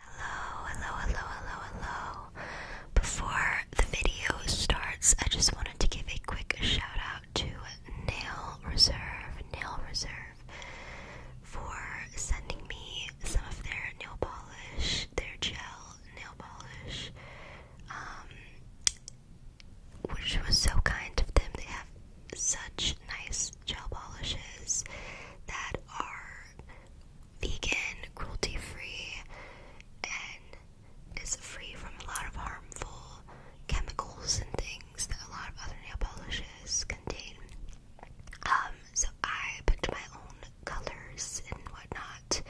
Hello, hello, hello, hello, hello. Before the video starts, I just wanted to give a quick shout out to Nail Reserve, Nail Reserve, for sending me some of their nail polish, their gel nail polish, um, which was so kind of them. They have such nice gel polishes that are vegan, cruelty free, and is free from a lot of harmful chemicals and things that a lot of other nail polishes contain. Um, so I picked my own colors and whatnot,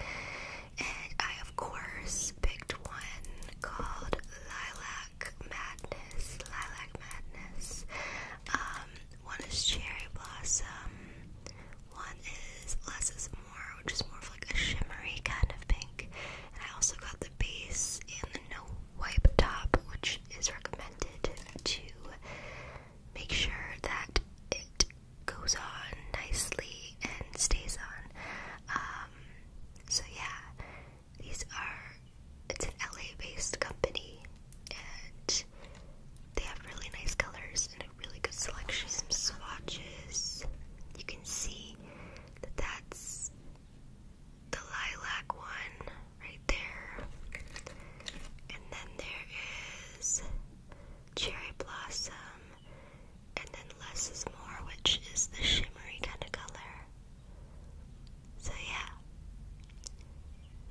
and I, of course, picked one called Lilac Madness. Lilac Madness. Um, one is Cherry Blossom. One is Less is More, which is more of like a shimmery kind of pink. And I also got the base and the no wipe top, which is recommended to make sure that it goes on nicely and stays on. Um, so yeah, these are, it's an LA based company and they have really nice colors and a really good selection. Some swatches. You can see that that's the lilac one right there. And then there is Cherry Blossom. And then Less is More, which is the shimmery kind of color. So yeah,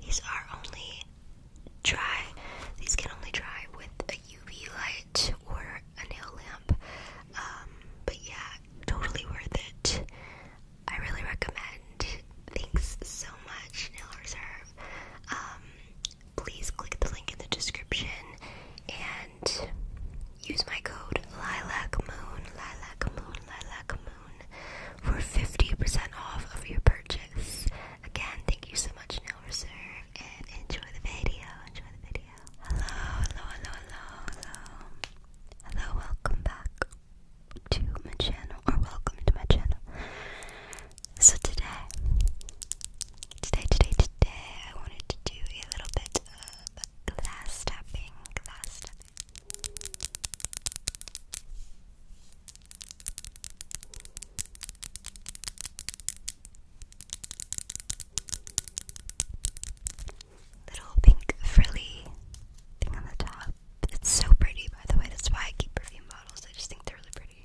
these are only dry. These can only dry with a UV light or a nail lamp. Um, but yeah, totally worth it. I really recommend. Thanks so much, Nail Reserve. Um, please click the link in the description and use my code Lilac Moon, Lilac Moon, Lilac Moon for 50% off of your purchase. Again, thank you so much, Nail Reserve, and enjoy the video. Enjoy the video. hello, hello, hello, hello. Hello, welcome back to my channel, or welcome to my channel. So today, today, today, today, I wanted to do a little bit of glass tapping, glass tapping. Little pink frilly thing on the top. It's so pretty, by the way. That's why I keep perfume bottles. I just think they're really pretty.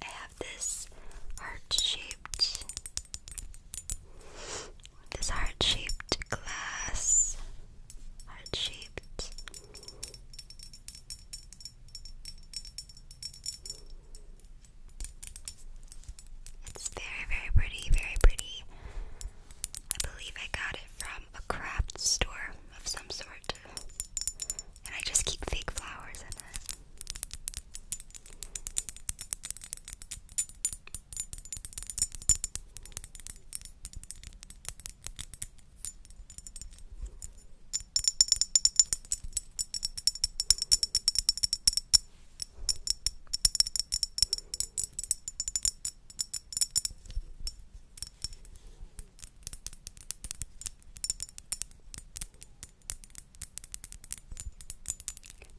I have this heart shaped this heart-shaped glass. Heart-shaped. It's very, very pretty, very pretty. I believe I got it from a craft store of some sort. And I just keep fake flowers in it.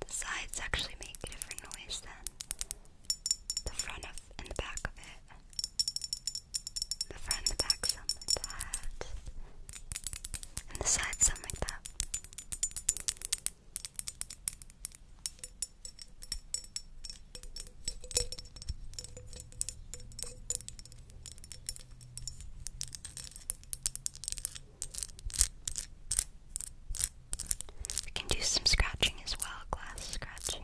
The sides actually make a different noise then the front of and the back of it. The front the back, something like that. And the side, something like that. We can do some scratching as well, glass scratching.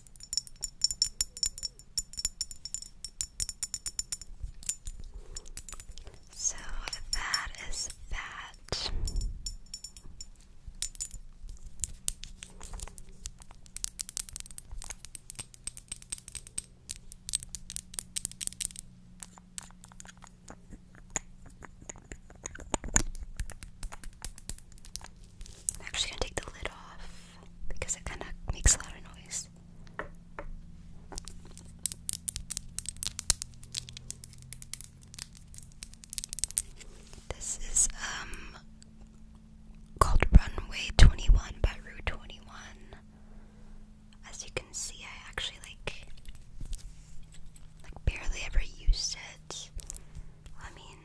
So that is that. I'm actually gonna take the lid off because it kind of makes a lot of noise. This is um called Runway 21 by Rue 21. As you can see, I actually like like barely ever used it. I mean,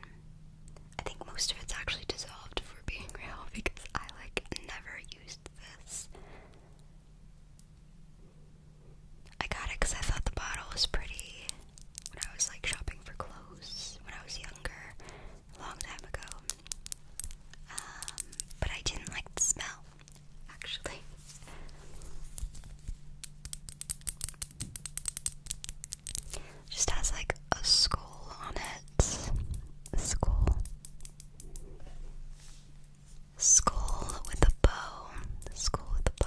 I think most of it's actually dissolved for being real because I like never used this. I got it because I thought the bottle was pretty when I was like shopping for clothes when I was younger, a long time ago. Um, but I didn't like the smell, actually. Just has like a skull on it. skull. Skull with a bow. Skull with a bow.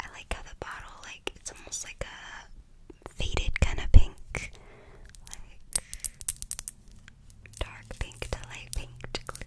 I like how the bottle, like, it's almost like a faded kind of pink, like dark pink to light pink to clear.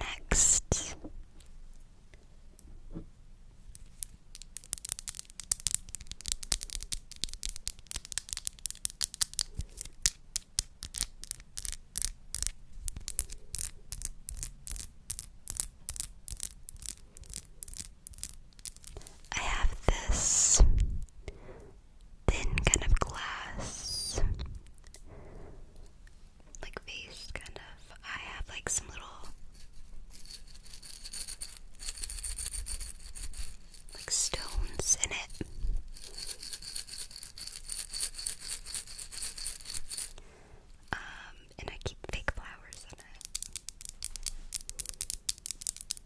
Next. I have this thin kind of glass like vase kind of. I have like some little like stones in it. Um, and I keep fake flowers in it.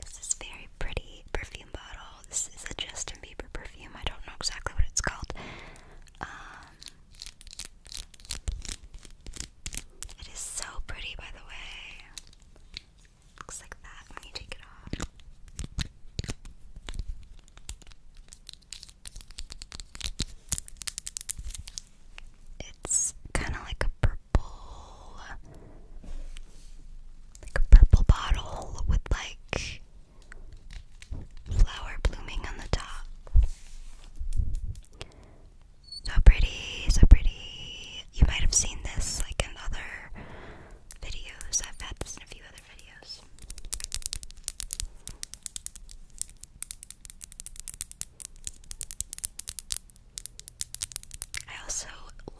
This is very pretty perfume bottle. This is a Justin Bieber perfume. I don't know exactly what it's called. Um, it is so pretty, by the way. Looks like that when you take it off. It's kind of like a purple, like a purple bottle with like flower blooming on the top. So pretty, so pretty you might have seen this like in other videos. I've had this in a few other videos. I also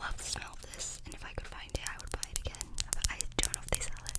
love the smell of this, and if I could find it, I would buy it again. I don't know if they sell it.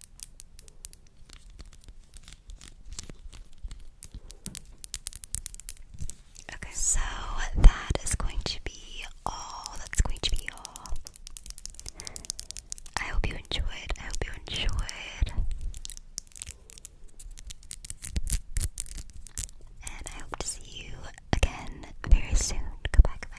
Okay, so that is going to be all. That's going to be all. I hope you enjoyed. I hope you enjoyed. And I hope to see you again very soon. Goodbye,